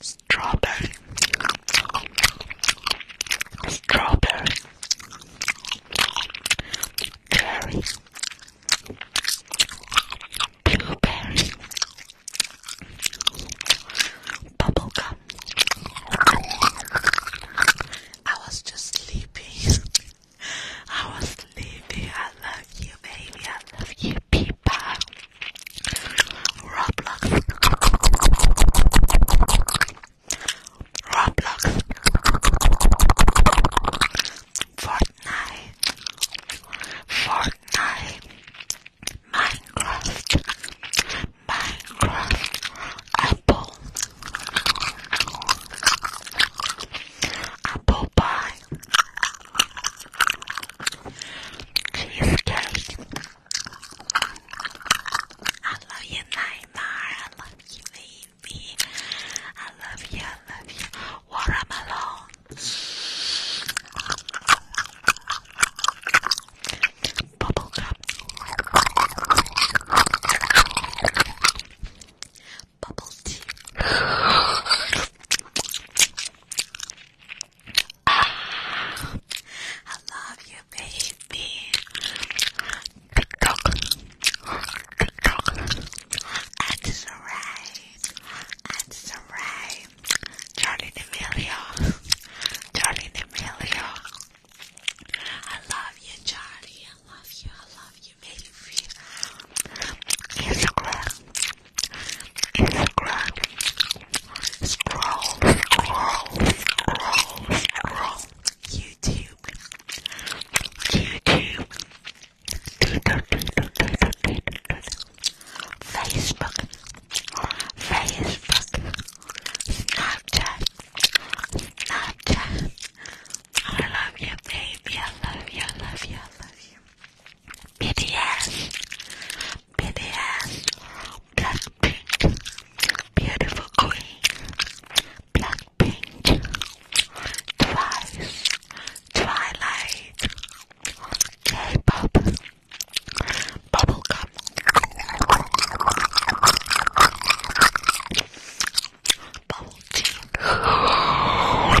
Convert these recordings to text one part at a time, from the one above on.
Strawberry. Strawberry. Cherry. Blueberry. Bubblegum. I was just sleepy. I was sleepy. I love you, baby. I love you, people. Roblox. Roblox. Fortnite. Fortnite. Minecraft. Minecraft. Apple. Apple pie. Cheesecake. I love you, Neymar. I love you, baby. I love you, I love you. Watermelon. Bubblegum. Bubble tea. I love you, baby. TikTok. TikTok. And Sarai. And Sarai. Charlie D'Amelio. Charlie D'Amelio. I love you, Charlie. I love you. I love you you made it real. Instagram, Instagram, scroll, scroll, scroll, scroll. YouTube, YouTube, Twitter, Twitter, Twitter, Twitter, Facebook, Facebook, Snapchat, Snapchat. I love you, baby. I love you. I love you. I love you. BTS, BTS, Blackpink, Beautiful Queen, Blackpink, Twice, Twilight, K-pop, Bubblegum, Bubble Tea,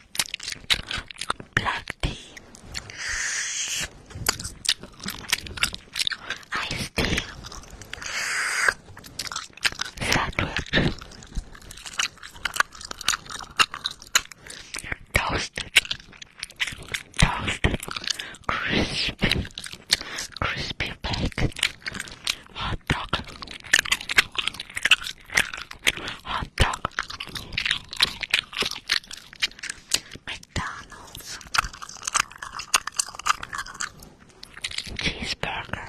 black tea, iced tea, sandwich, toasted, toasted, crispy, crispy bacon, hot dog. Hot dog. McDonald's. Cheeseburger.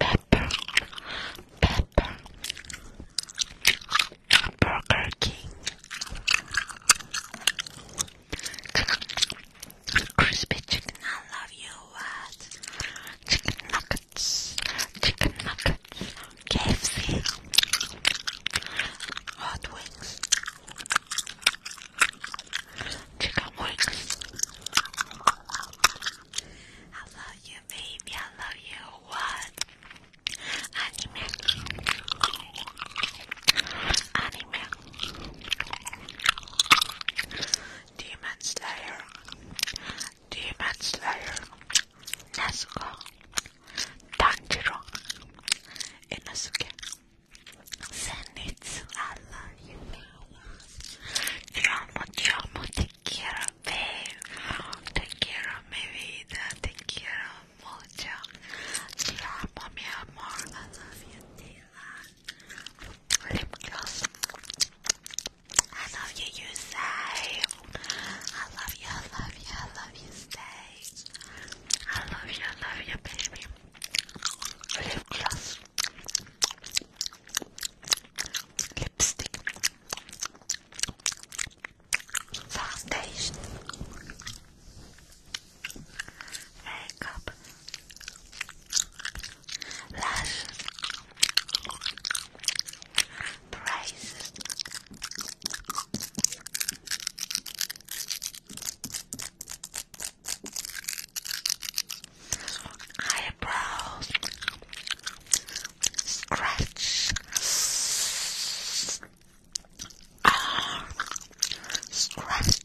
Pepper. Pepper. Burger King. Crispy chicken, I love you. What? Chicken nuggets, chicken nuggets, KFC, hot wings, chicken wings. I love you, baby. I love you. What? Anime, anime. Demon Slayer, Demon Slayer, Nezuko, Tanjiro, Inosuke, Zenitsu, I love you, I love you, Giamo, take care of vida, take care of Mojo, Giamo, mi amor, lip gloss. I love you, you say. I love you, I love you, I love you, say. I love you, I love you, baby. Lip gloss. Lipstick. Foundation. Makeup. Lush Price Eyebrows Scratch Arm Scratch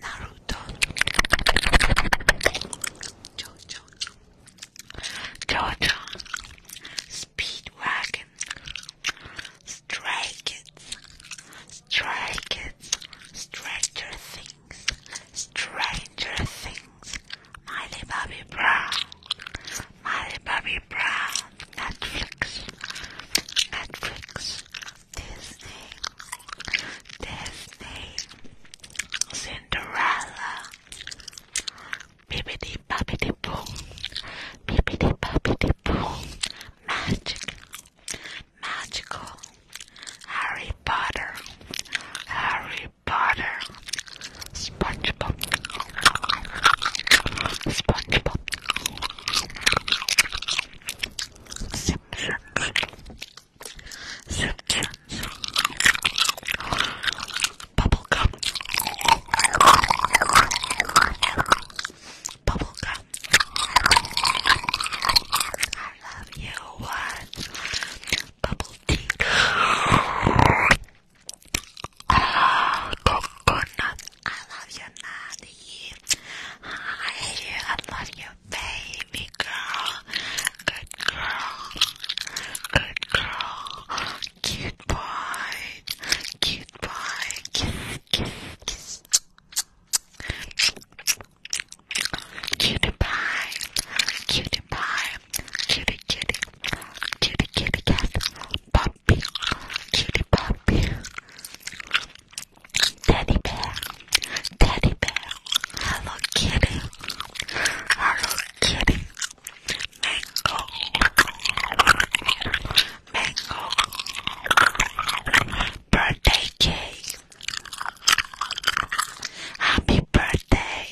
Naruto, Jojo, Jojo, Speedwagon, Stray Kids, Stray Kids, Stranger Things, Stranger Things, Miley Bobby Brown, Miley Bobby Brown, Netflix, Netflix, Disney, Disney, Cinderella, Bibbidi Bobbidi Boom, Bibbidi Bobbidi Boom, Magic, Magical, Harry Potter, Harry Potter, SpongeBob, SpongeBob. Simpsons. Simpsons. Bubblegum. Bubblegum. I love you. What? Bubble tea. Ah, coconut. I love you, Nanny you. Hi, I love you, baby girl. Good girl. Good girl. Cute boy. Cute boy. Kiss, kiss, kiss. Cutie pie. Cutie pie. Cutie kitty. Cutie kitty cat. Puppy. Cutie puppy. Teddy bear, teddy bear, hello kitty, hello kitty, mango, mango, birthday cake, happy birthday,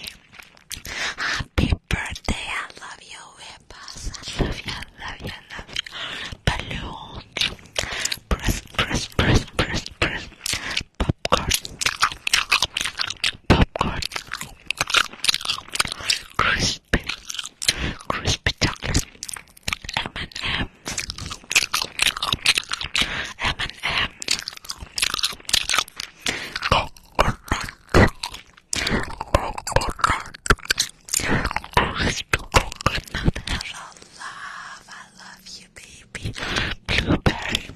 happy birthday, I love you, Whippers, I love you, I love you, I love you, balloon press, press, press, press, press, popcorn, popcorn, crispy, crispy chocolate, M&M, M&M, coconut, coconut, crispy coconut, hello, love, I love you, baby. Blueberry.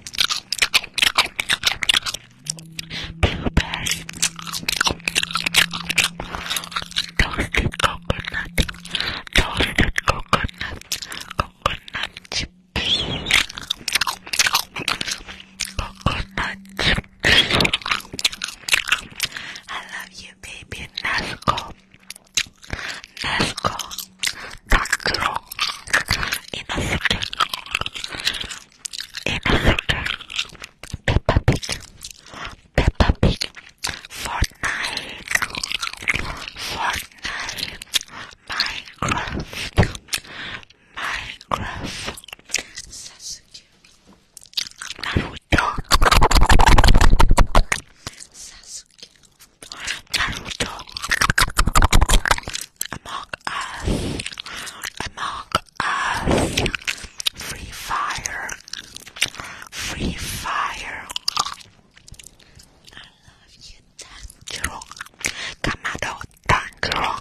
Blueberry. Toasted coconut. Toasted coconut. Coconut chips. Coconut chips. I love you, baby. Nasco. Nesco Takuro Inosuke Inosuke Peppa Pig Peppa Pig Fortnite Fortnite Minecraft Minecraft Sasuke Naruto Sasuke Naruto, Among Us, Among Us, Free Fire, Free Fire. I love you, Tanjiro, Kamado, Tanjiro,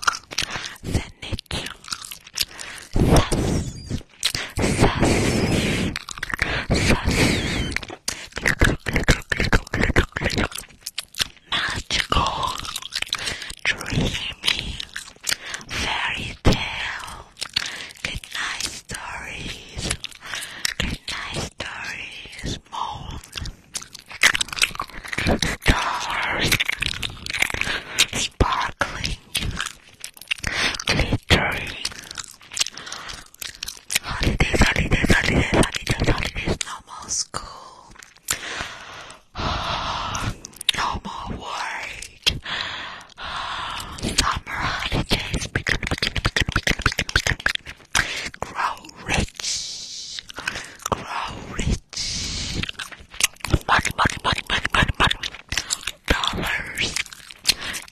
Zenitsu, Sus, Sus, Sus, magical, dreamy, fairy tale, good stories, good stories, moon, stars, sparkling, glittering. Holidays, holidays, holidays, holidays, holidays, no more school. No more work. Summer holidays. Grow rich. Grow rich. Money, money, money, money, money, money. Dollars.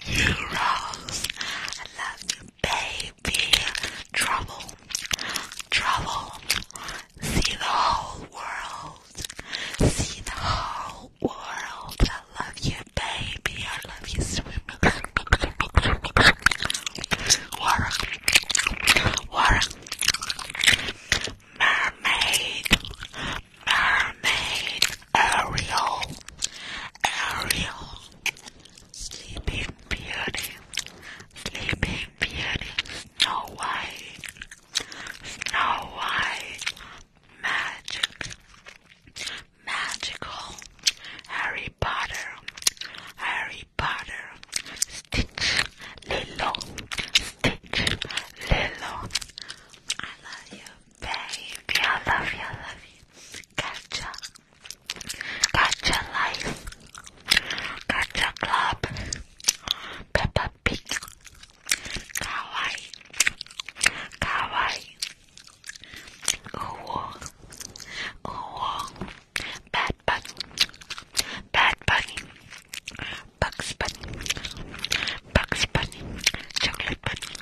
Euros. I love you. Baby, trouble, trouble. See the whole world, see the whole world. I love you, baby. I love you, swimming. Water, water. Mermaid, mermaid. Ariel, Ariel, Sleeping Beauty, Sleeping Beauty, Snow White, Snow White, Magic, Magical, Harry Potter, Harry Potter, Stitch, Lilo, Stitch, Lilo. I love you, baby. I love you, I love you. Gotcha. Gotcha Life, Gotcha Club, Peppa Pig, Kawaii, Kawaii, Ooh, Ooh, Bad Bunny, Bad Bunny, Bugs Bunny, Bugs Bunny, Chocolate Bunny,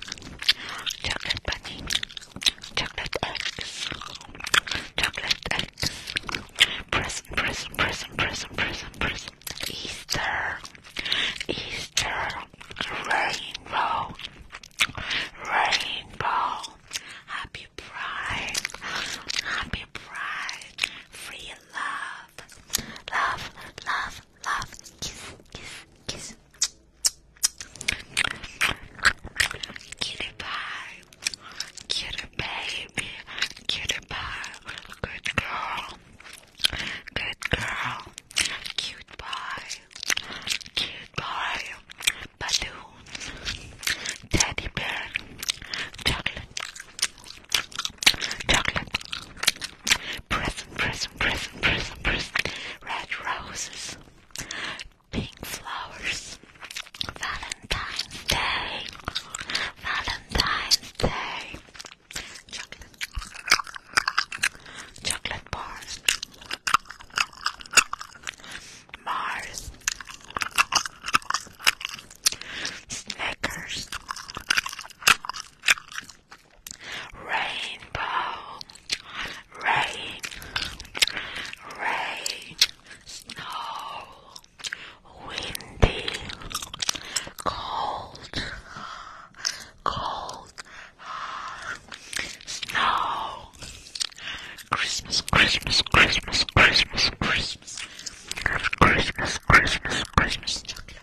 Chocolate Bunny. Chocolate eggs. Chocolate eggs. Present, present, present, present, present, present. Easter. Easter. Rainbow. Rainbow. Happy Pride. Happy Pride. Free love. Love, love, love. Kiss, kiss, kiss. Kitty pie, kitty baby, kitty pie, good girl, good girl, cute boy, cute boy, balloon, teddy bear, chocolate, chocolate, present, present, present, present, present, red roses pink flowers. Valentine's Day. Valentine's Day. Chocolate. bars. Mars. Snickers. Rainbow rain, rain, snow, windy, cold, cold, snow, Christmas, Christmas, Christmas, Christmas, Christmas, Christmas, Christmas, Christmas chocolate.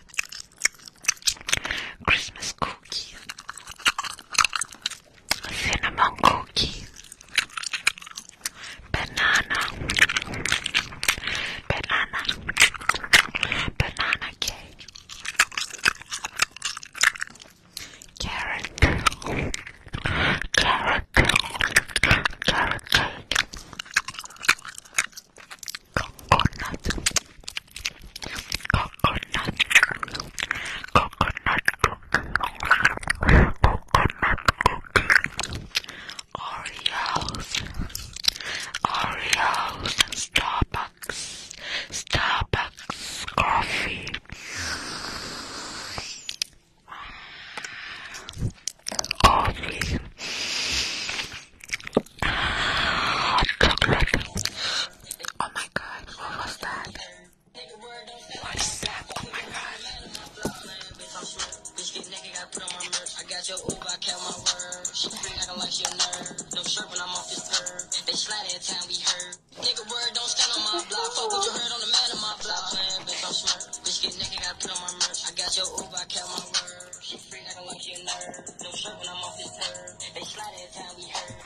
Christmas cookie, cinnamon cookie, banana, banana, banana cake, carrot, carrot, carrot cake, coconut, coconut, coconut cookie, coconut cookie, Oreos, Oreos, Starbucks, Starbucks coffee. Coffee, chocolate. Oh my god, what was that? don't What is that? Oh my god. Nigga word don't stand on my block. Fuck what you heard on the man on my block. Playing bitch, I'm smart. Bitch get naked, got put on my merch. I got your Uber, I kept my word. She freak, I don't like your nerve. No shirt when I'm off this curb. They slide every time we heard.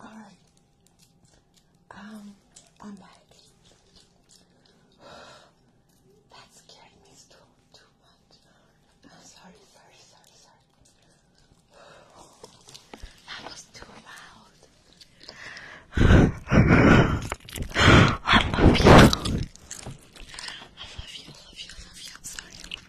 All right. Um, I'm back. that scared me too, too much. sorry, sorry, sorry, sorry. That was too loud. I love you. I love you, I love you, I love you. sorry.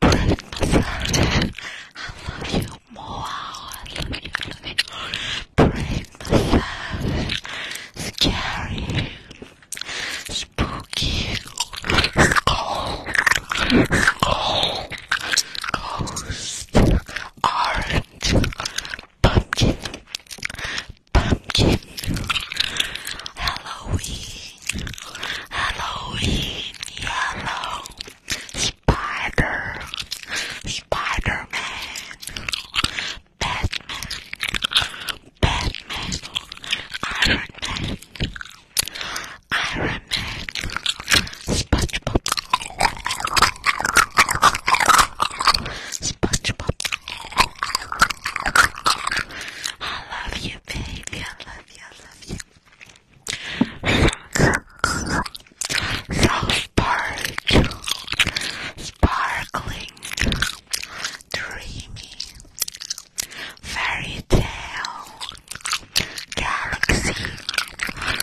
Break I love you more. I love you, love you. Break massage. Scary. Spooky. Cold. Cold. Ghost. Orange. Pumpkin. Pumpkin. Halloween, Halloween, yellow, spider, spider Batman, Batman, Iron Man, SpongeBob, SpongeBob. I love you, baby love I love you. sparkling, dreamy, fairy tale, galaxy,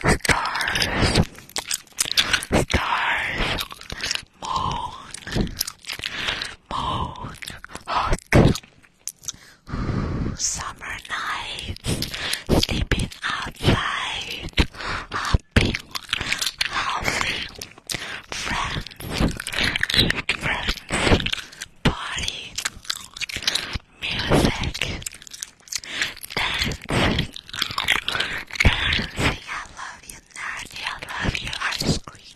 stars, stars, moon, moon, hot. Summer nights, sleeping outside, hopping, housing, friends, friends, party, music, dancing, dancing. I love you, Natty. I love you, ice cream.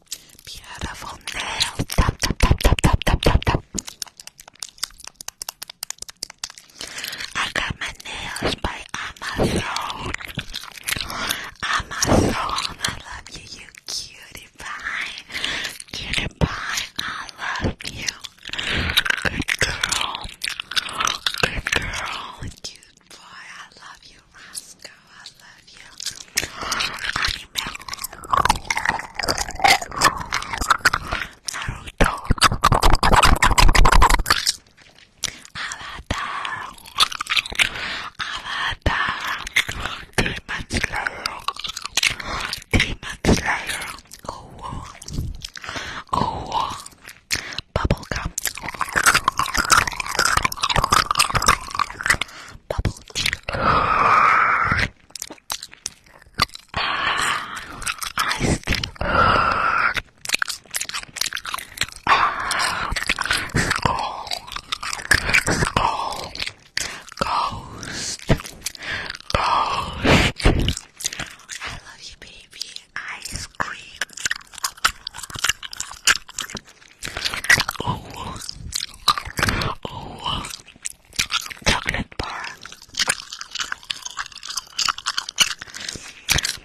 Beautiful nails. Tap, tap, tap, tap, tap, tap, tap, tap. I got my nails by Amazon. Amazon, I love you, you cutie pie. Cutie pie, I love you. Good girl. Good girl. Boy, I love you, Roscoe. I love you. Naruto. Avatar. Avatar. Demon Slayer. Demon Slayer. Oh, oh. Bubblegum bubble tea. Iced Skull. Skull. Ghost. Ghost. I love you, baby. Ice cream. Oh, oh, chocolate bar.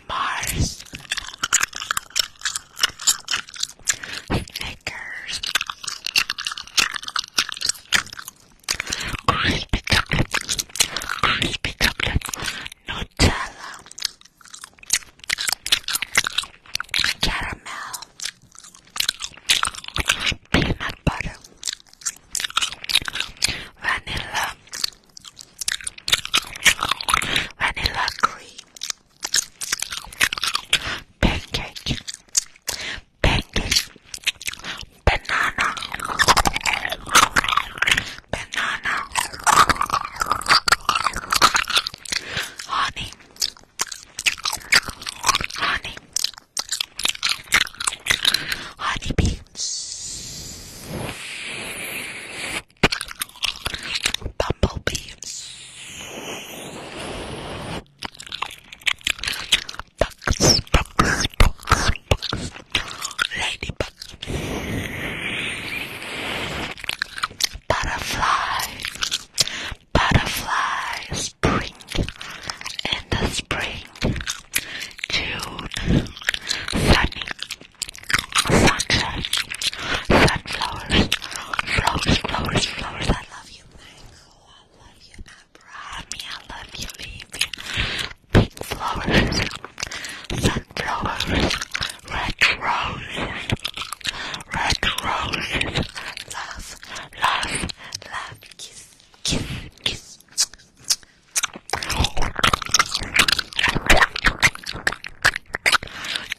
Mars. Snickers. Crispy chocolate. Crispy chocolate. Nutella caramel, peanut butter, vanilla, vanilla cream, pancake, pancake, banana, banana, honey honey, honey beans, bumblebees, ducks, ducks, ducks, ducks, ladybugs, butterfly, Butterflies, spring and the spring June sunny sunshine sunflowers flowers flowers flowers I love you mango I love you abrami I love you leafy pink flowers sunflowers red roses red roses. Love, love, love. Kiss, kiss, kiss.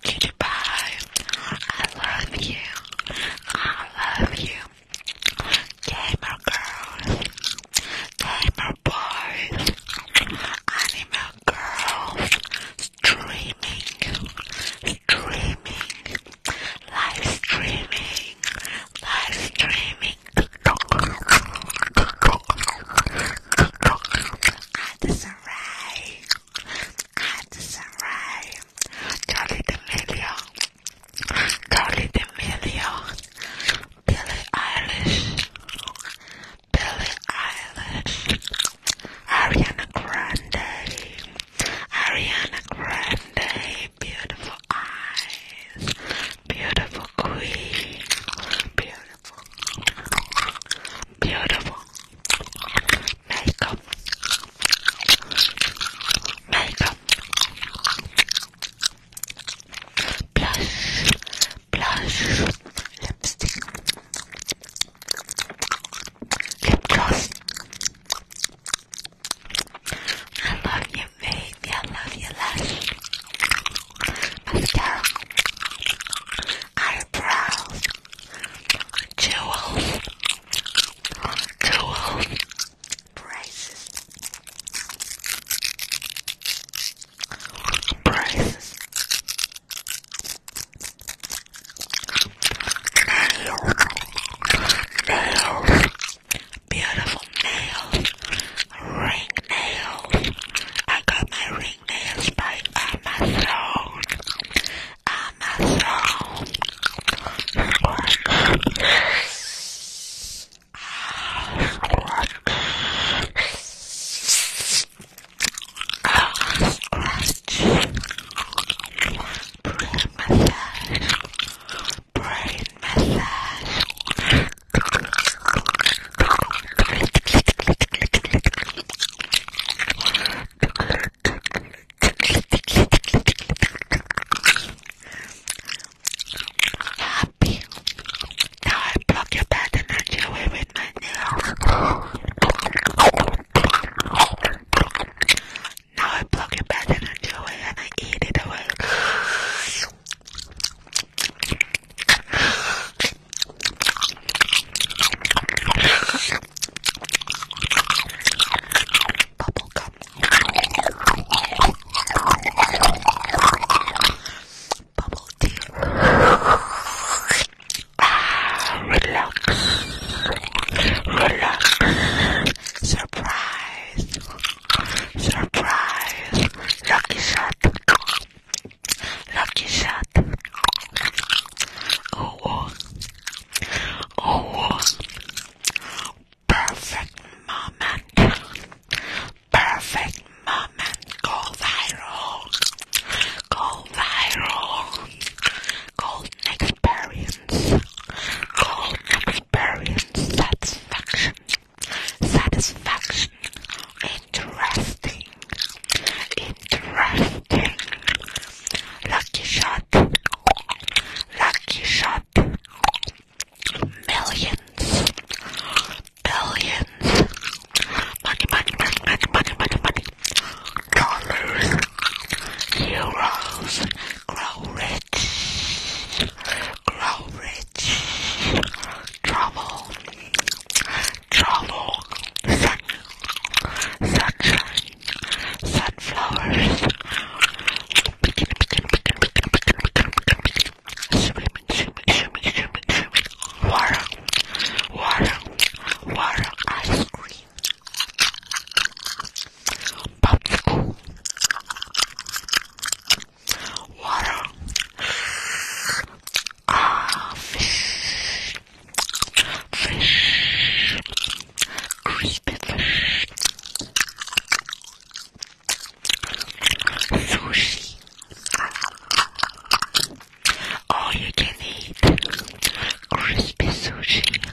Kitty I love you. I love you. Gamer girls, gamer boys, animal girls, streaming, streaming, live streaming, live streaming, at the Sarai, at the Sarai, Charlie D'Amelio, Charlie Eilish, Billie Eilish, Ariana Grande, Ariana Grande, beautiful eyes, beautiful queen, beautiful, beautiful makeup, makeup, blush, blush, lipstick, lip I love you, baby, I love your lash. Mascara, eyebrows, jewels, jewels, braces, braces. Nails. Nails. Beautiful nails. Ring nails. I got my ring nails by Amazon. Amazon. I'll scratch, brain massage, brain massage. Happy. Now I block your bad energy away with my nails. Now I plug it back in and chew it and I eat it away. Bubble gum. Bubble tea. Ah, relax, relax, surprise, surprise, lucky shot, lucky shot. Oh, oh, oh, oh. perfect moment, perfect moment, go viral, go viral called an experience. Called an experience. Satisfaction. Satisfaction. Interesting. Interesting. Lucky shot. Lucky shot. Millions. Billions. Money, money, money, money, money, money, money. Dollars. Heroes grow rich, grow rich. Trouble, trouble. Sun, sunshine, sunflowers. Begin, begin, begin, begin, begin, begin, begin, begin. Swimming, swimming, swimming, swimming, swimming. Water, water, water. Ice cream, popsicle, water, ah, fish, fish, crispy fish, sushi. All you can eat crispy sushi.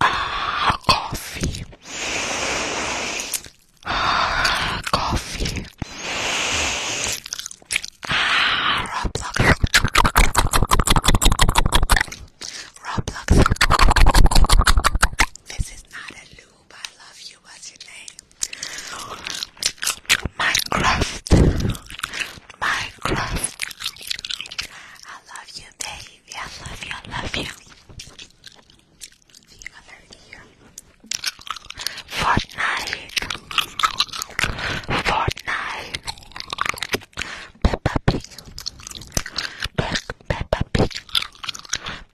Ah, coffee. Ah, coffee. Ah, Roblox. Roblox. This is not a lube. I love you. What's your name? Minecraft. Minecraft. I love you, baby. I love you. I love you. Fortnite. Fortnite. Peppa Pig. Peppa Pig.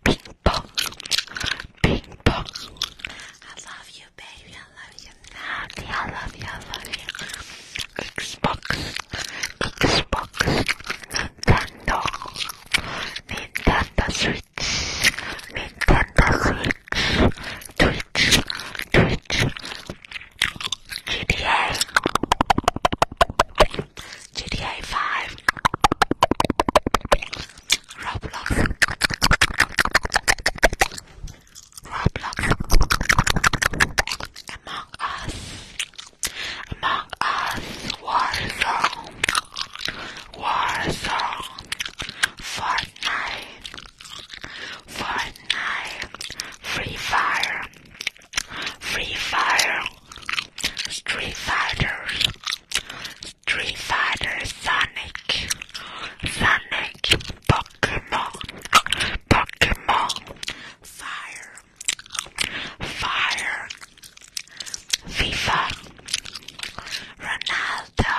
Ping pong. Ping pong. I love you, baby. I love you. I love you, love you. Xbox, Xbox, Nintendo, Nintendo Switch, Nintendo Switch, Twitch, Twitch, GTA, GTA 5, Roblox. Roblox, Among Us, Among Us, Warzone, Warzone, Fortnite, Fortnite, Free Fire, Free Fire, Street Fighters, Street Fighter, Sonic, Sonic, Pokemon, Pokemon, Fire, Fire, FIFA, Ronaldo,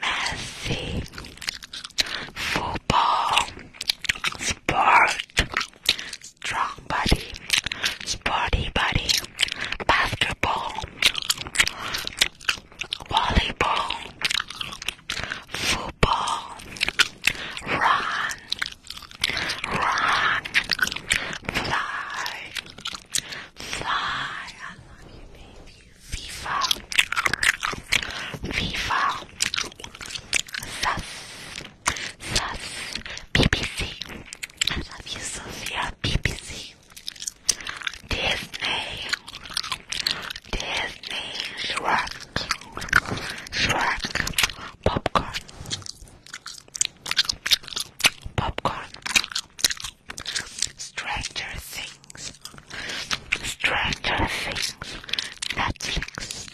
Messi, Football, Sport, Strong Body, Sporty Body, Basketball, Volleyball, Football ball. Run, run, fly, fly. I love you, FIFA, FIFA, sus, sus, BBC. I love you, Sophia, BBC. Disney, Disney's Shrek Shrek Popcorn Popcorn Stranger Things Stranger Things Netflix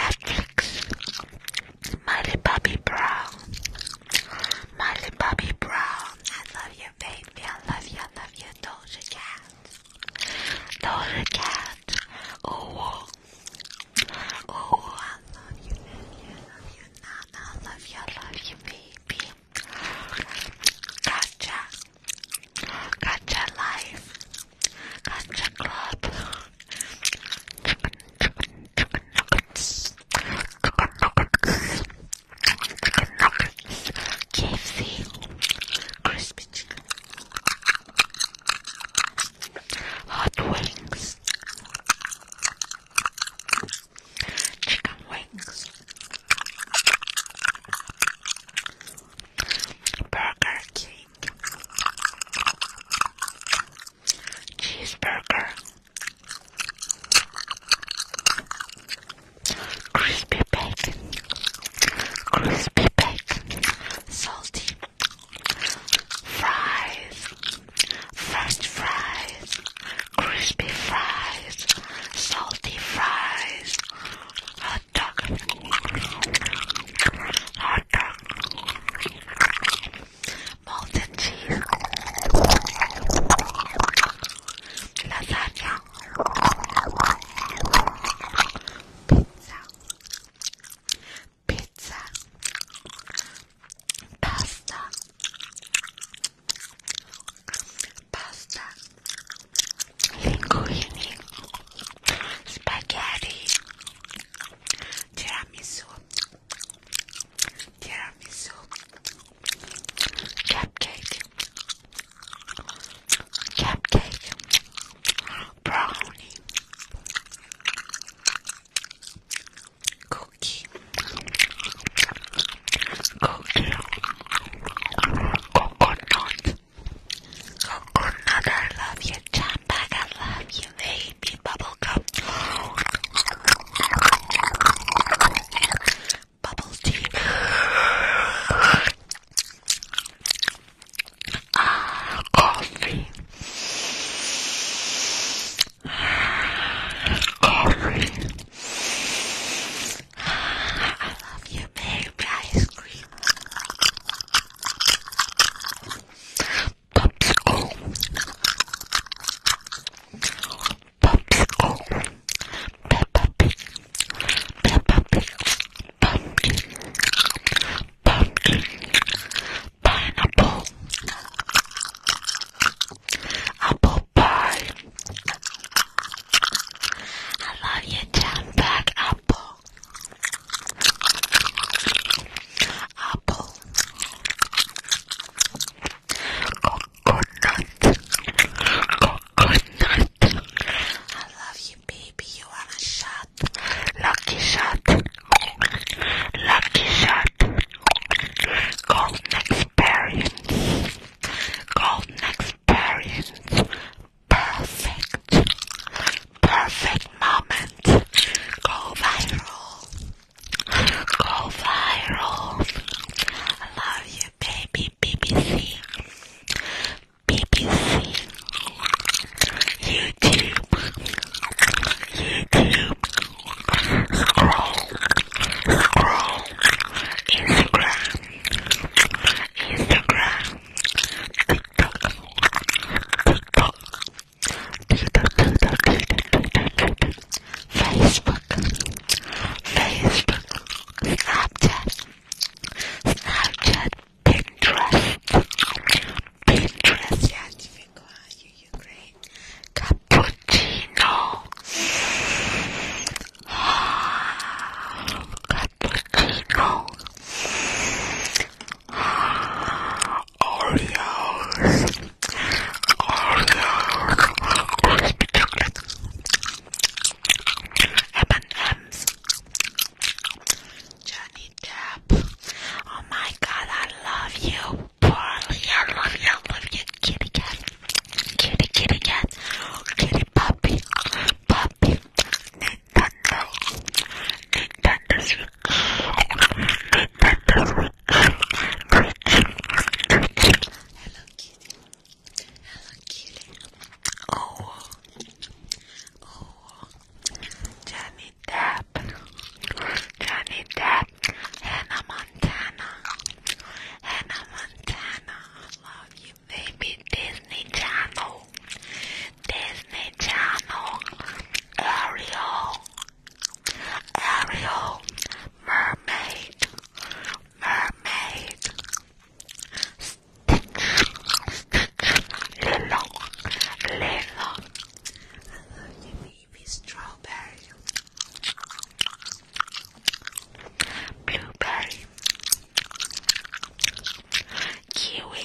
Netflix Miley Bobby Brown Miley Bobby Brown I love you baby I love you I love you Doja Cat Doja Cat. Oh, oh, oh, I love you, baby. I love you, Nana. I love you, I love you, baby. Gotcha. Gotcha life. Gotcha club. Chicken, chicken, chicken nuggets. Chicken nuggets. Chicken nuggets. KFC. Crispy hot wings, chicken wings, burger cake, cheeseburger crispy bacon, crispy bacon, salty fries, french fries, crispy fries, salty fries, hot dog, hot dog, molten cheese, lasagna. Pizza. Pizza. Pasta. Pasta. Linguini. Spaghetti. Tiramisu. Tiramisu. Cupcake cupcake, brownie, cookie, cookie, coconut, coconut, I love you, Champagne, I love you, baby, bubblegum, bubble tea. Ah, coffee. coffee. I love you, baby. Ice cream. Popsicle. Popsicle. Peppa Pig pumpkin, pumpkin, pineapple, apple pie. I love you, jam bag apple, apple, coconut, coconut. I love you, baby. You wanna shine lucky shot, lucky shot, golden experience, golden experience, perfect, perfect moment, go viral, go viral, I love you baby BBC, BBC, YouTube, YouTube, scroll, scroll, Instagram, Instagram, TikTok, TikTok, TikTok, TikTok, TikTok, TikTok, Facebook, Facebook, Snapchat, Snapchat. Pinterest. Pinterest. Я отвлекаю Ukraine. Капучино. Капучино. Oreos. Oreos. Crispy chocolate. M&M's. Johnny Depp. Oh my god, I love you, Polly. I love you, I love you, kitty cat. Kitty, kitty cat. Kitty puppy. Puppy. Nintendo. Nintendo Switch. Nintendo Switch. Hello, kitty. Hello, kitty. Oh, oh, Johnny Depp, Johnny Depp, Hannah Montana, Hannah Montana, I love you, baby. Disney Channel, Disney Channel, Ariel, Ariel, Mermaid, Mermaid. Little, little. Hello, strawberry. Blueberry. Kiwi.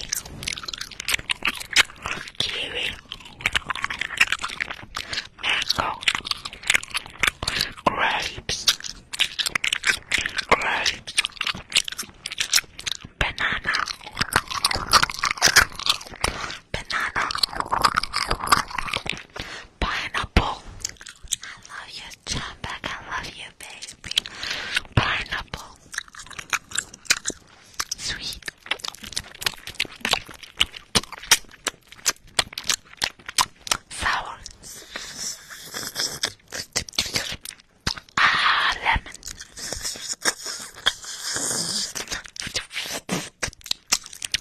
Kiwi. Mango. Grapes. Grapes banana, banana, pineapple. I love you, Chumbag. I love you, baby. Pineapple, sweet. Sour Ah, lemon.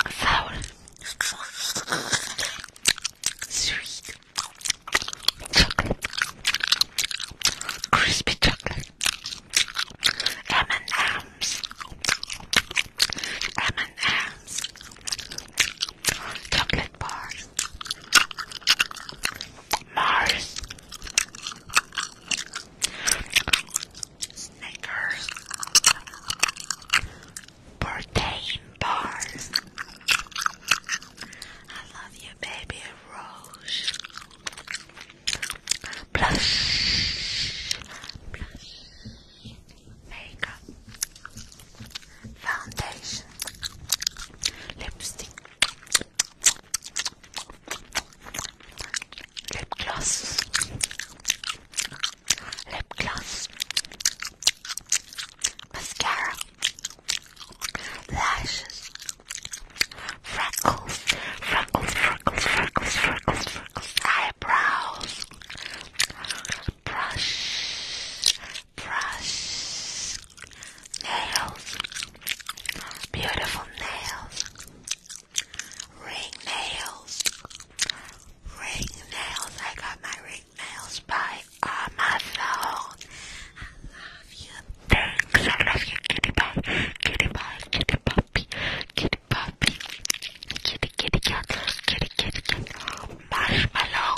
Sour. Sweet. Chocolate. Crispy chocolate. M&M's. M&M's. Chocolate bars. Mars, Snickers, protein bars. I love you, baby Roche. blush, makeup, foundation, lipstick, Lip gloss. Lip gloss. Mascara. Lashes. Freckles. Freckles, freckles, freckles, freckles, Eyebrows. Brush. Brush. Nails. Beautiful nails. Ring nails. Ring nails. I got my ring nails by uh, I love you. Thanks. I love you, kitty pie. Kitty pie. Kitty puppy. Kitty puppy. Kitty kitty cat. Kitty kitty cat. Marshmallow.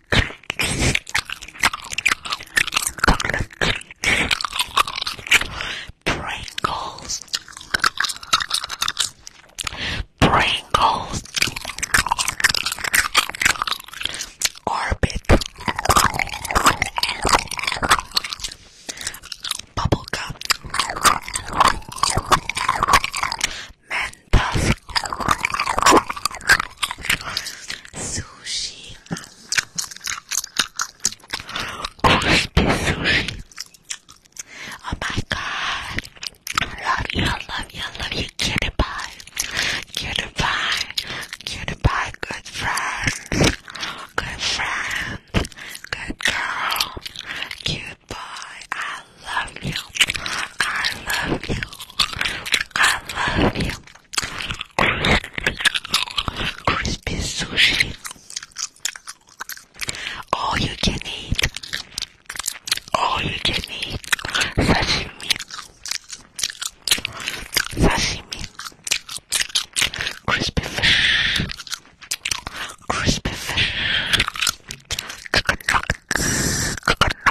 Pringles. Pringles. Orbit. Bubblegum. Mentos. Sushi. Crispy sushi. Oh my god. I love you, I love you, I love you, cutie pie. Cutie pie. Cutie pie, good friend. Good friend. Good girl. Cute boy. I love you. I love you. I love you. Crispy sushi. All you can eat. All you can eat. Sashimi. Sashimi. Crispy fish. Crispy fish. Chicken nuggets. Chicken nuggets.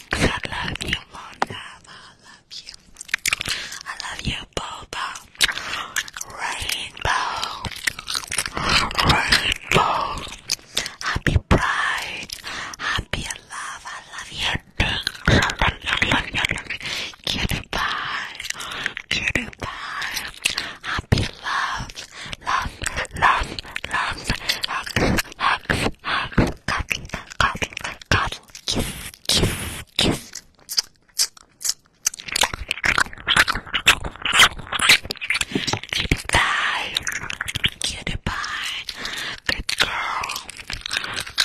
I love you, Mona. I love you. I love you, Boba. Rainbow. Rainbow. Happy Pride. Happy love. I love you. Cutie pie. Cutie pie. Happy love. Love, love, love. Hugs, hugs, hugs cuddle, cuddle, cuddle, kiss, kiss, kiss. Cutie pie, cutie pie, good girl,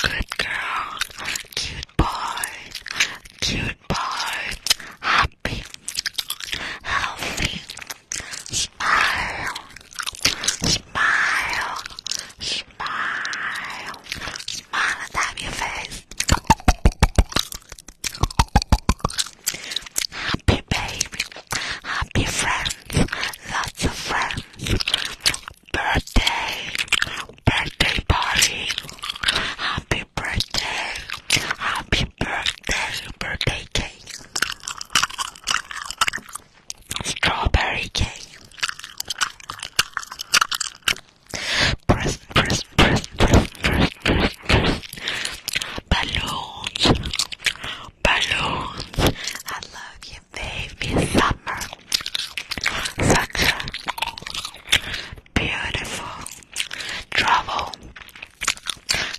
good girl, cute boy, cute boy, happy, healthy. Smile, smile, smile, smile and have your face. Happy baby, happy friends, lots of friends. Birthday, birthday party. Happy birthday, happy birthday, birthday cake strawberry cake. Press, press, press, press, press, press, press. Balloons, balloons. I love you, baby. Summer, such beautiful travel,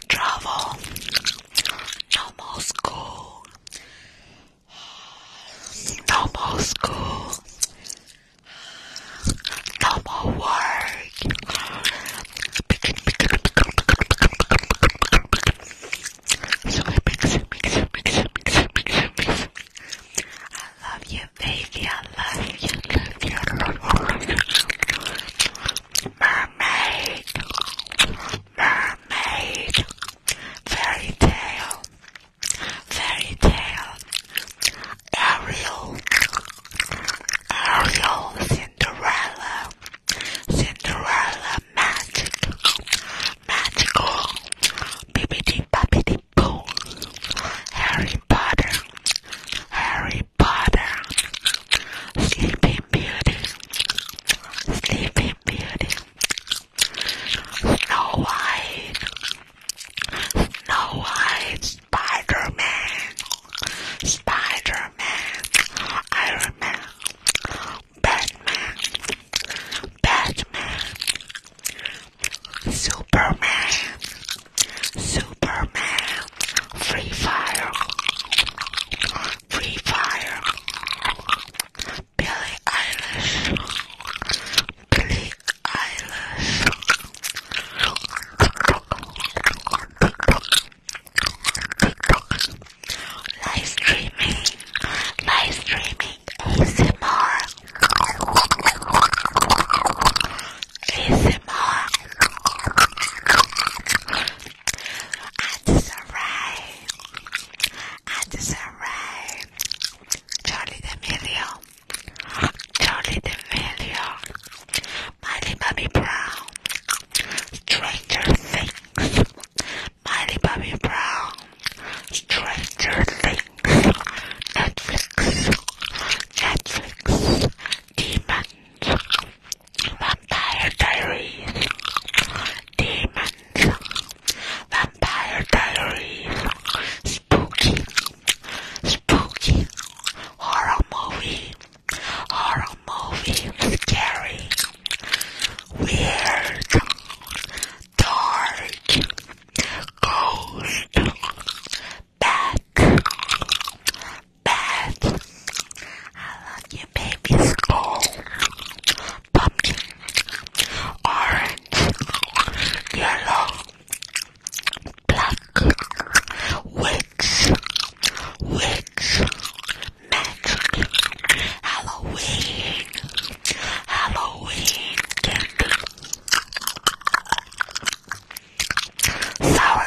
travel. No more school normal school, normal work. So I mix it, mix it, mix it, mix it, mix it, mix it. I love you, baby. I love you, love you, love you. Mermaid, mermaid. Fairy Tale, Fairy Tale, Ariel, Ariel, Cinderella, Cinderella, Magic, Magical, Bibbidi Bobbidi Boo, Harry Potter, Harry Potter, Sleeping Beauty, Sleeping Beauty. Snow White, Snow White, Spider-Man, Spider-Man, Iron Man, Batman, Batman, Superman, Superman, Free Fire, Free Fire, Billy Eilish, Billie Eilish. Live streaming, live streaming ASMR, ASMR. That's alright. Addison Ray, Charlie D'Amelio, Charlie D'Amelio, Miley Bobby Brown, Stranger Things, Miley Bobby Brown, Stranger Things, Netflix, Netflix, Demons, Vampire Diaries, demons, vampire diaries, spooky, spooky, horror movie, horror movie, scary, weird, dark, ghost, bat, bat, I love you a baby's skull, pumpkin, orange, yellow, black, witch, witch, magic, Halloween, Halloween sour.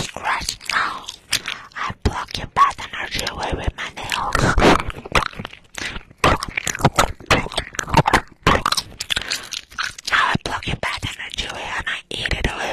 Scratch now. I block your bad energy away with my nails. Now I block your bad energy away and I eat it away.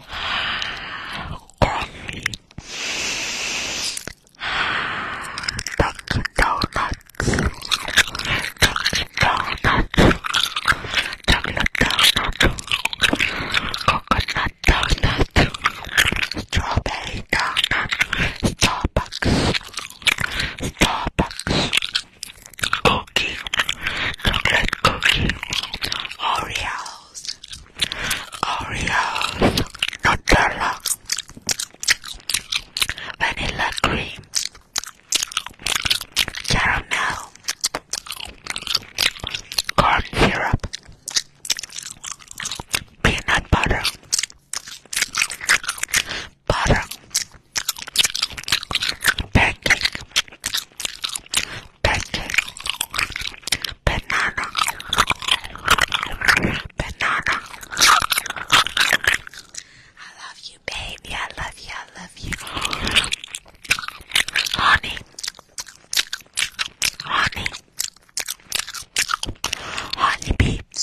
Coffee. Dunkin' Donuts. Dunkin' Donuts. Chocolate Donut. Coconut Donut. Strawberry Donut. Starbucks. Starbucks. Cookie. Chocolate cookie. Oreo. Oreos, Oreos, Nutella, Vanilla Cream, Caramel, Corn Syrup, Peanut Butter, Butter, Pancake, banana, banana. I love you, baby. I love you. I love you, honey, honey, honey beeps,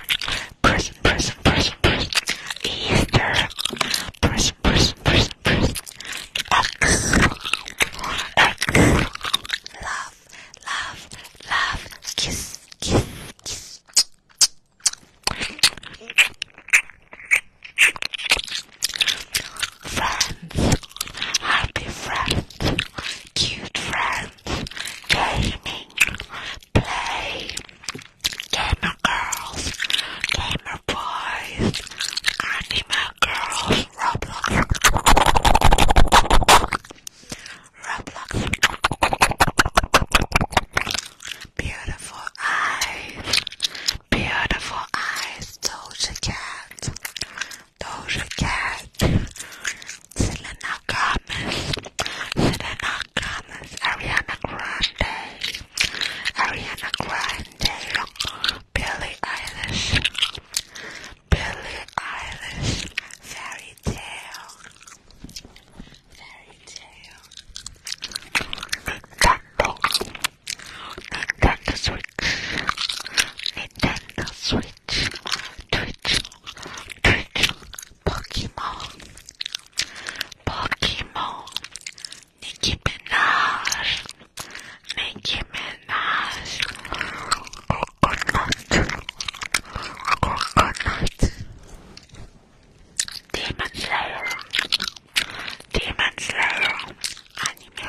Person, person, person, person. Easter. Person, person, person, person. X. X. Love, love, love. Kiss, kiss, kiss. Friends, happy friends, cute friends, gaming, play, gamer girls, gamer boys, anime girls, Roblox, Roblox, beautiful eyes, beautiful eyes, Doja Cat, Selena Gomez, Selena Gomez, Ariana Grande, Ariana Grande, Billie Eilish, Billie Eilish, Fairy Tale, Fairy Tale, Nintendo, Nintendo Switch, Nintendo Switch, Twitch, Twitch. Pokemon, Pokemon, Nicki Minaj, Nicki Minaj, Coconut, Coconut, Demon Slayer, Demon Slayer, Anime.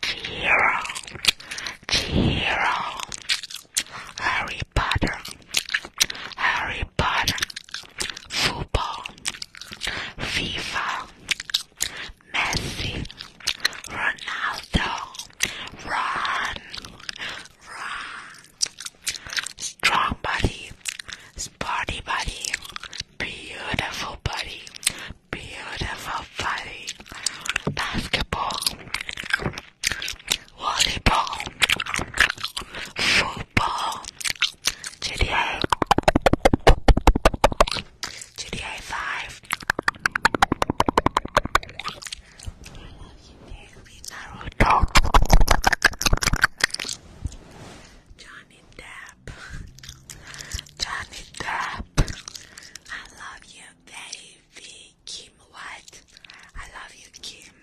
Jiro, Jiro, Harry Potter, Harry Potter, football, FIFA, Messi, Ronaldo, run, run, strong body, sporty body, beautiful body, beautiful body, basketball, volleyball, football, GTA, GTA 5, Naruto, Johnny Depp. Depp. Johnny Depp. I love you, baby. Kim White. I love you, Kim.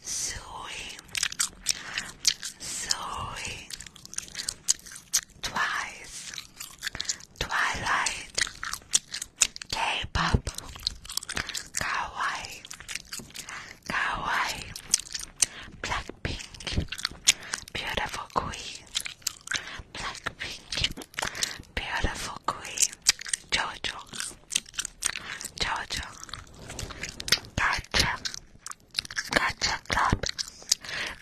Suey. Suey. Twice. Twilight. K-pop. Kawaii. Kawaii. Blackpink. Beautiful Queen. Black, pink, Beautiful Queen, Jojo, Jojo, Gotcha, Gotcha Club,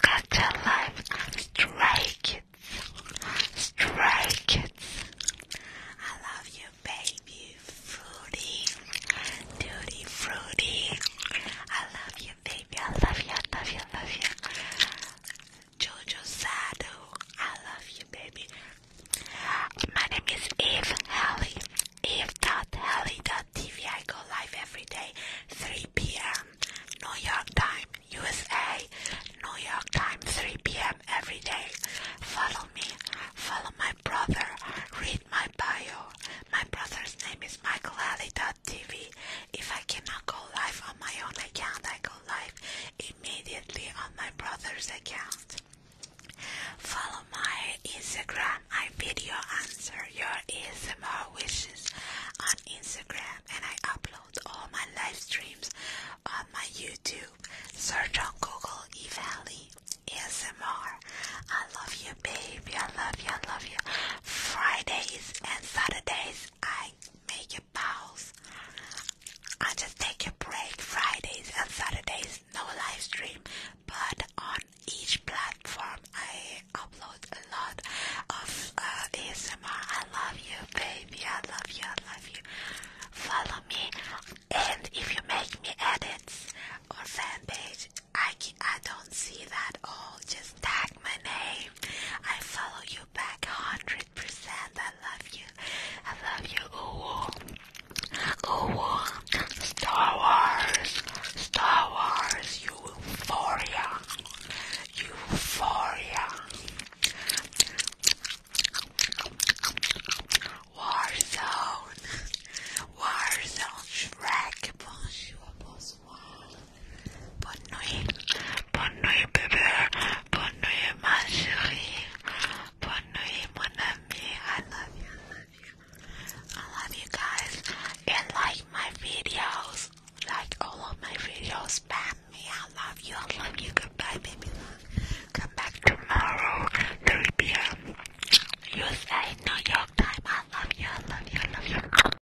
Gotcha Life, Stray Kids, Stray Kids, I love you baby, fruity, duty fruity, I love you baby. I love you. I love you. I love you. Jojo Sado. I love you, baby. My name is Eve dot TV. I go live every day, 3 p.m. New York time, USA. New York time, 3 p.m. every day. Follow me. Follow my brother. Read my bio. My brother's name is Michael TV. If I cannot go live on my own account, I go live immediately on my brother's account. Follow my Instagram. I video answer your ASMR wishes on Instagram and I upload all my live streams on my YouTube. Search on Google eValley ASMR. I love you, baby. I love you. I love you. Fridays and Saturdays I make a pause. I just take a break Fridays and Saturdays, no live stream, but on each platform I upload a lot of uh, ASMR. I love you, baby. I love you. I love you. Follow me, and if you make me edits or fan page, I I don't see that all. Just tag my name. I follow you back 100%. I love you. I love you. Ooh. Ooh. Star Wars. Star Wars. euphoria. Euphoria. Warzone. Warzone. Shrek. Bonjour. Bonsoir. Bonne nuit, bonne nuit bébé, bonne nuit ma chérie, bonne nuit mon ami, I love you, I love you, guys, and like my videos, like all of my videos, spam me, I love you, I love you, goodbye baby come back tomorrow, 3 p.m., USA, New York time, I love you, I love you, I love you.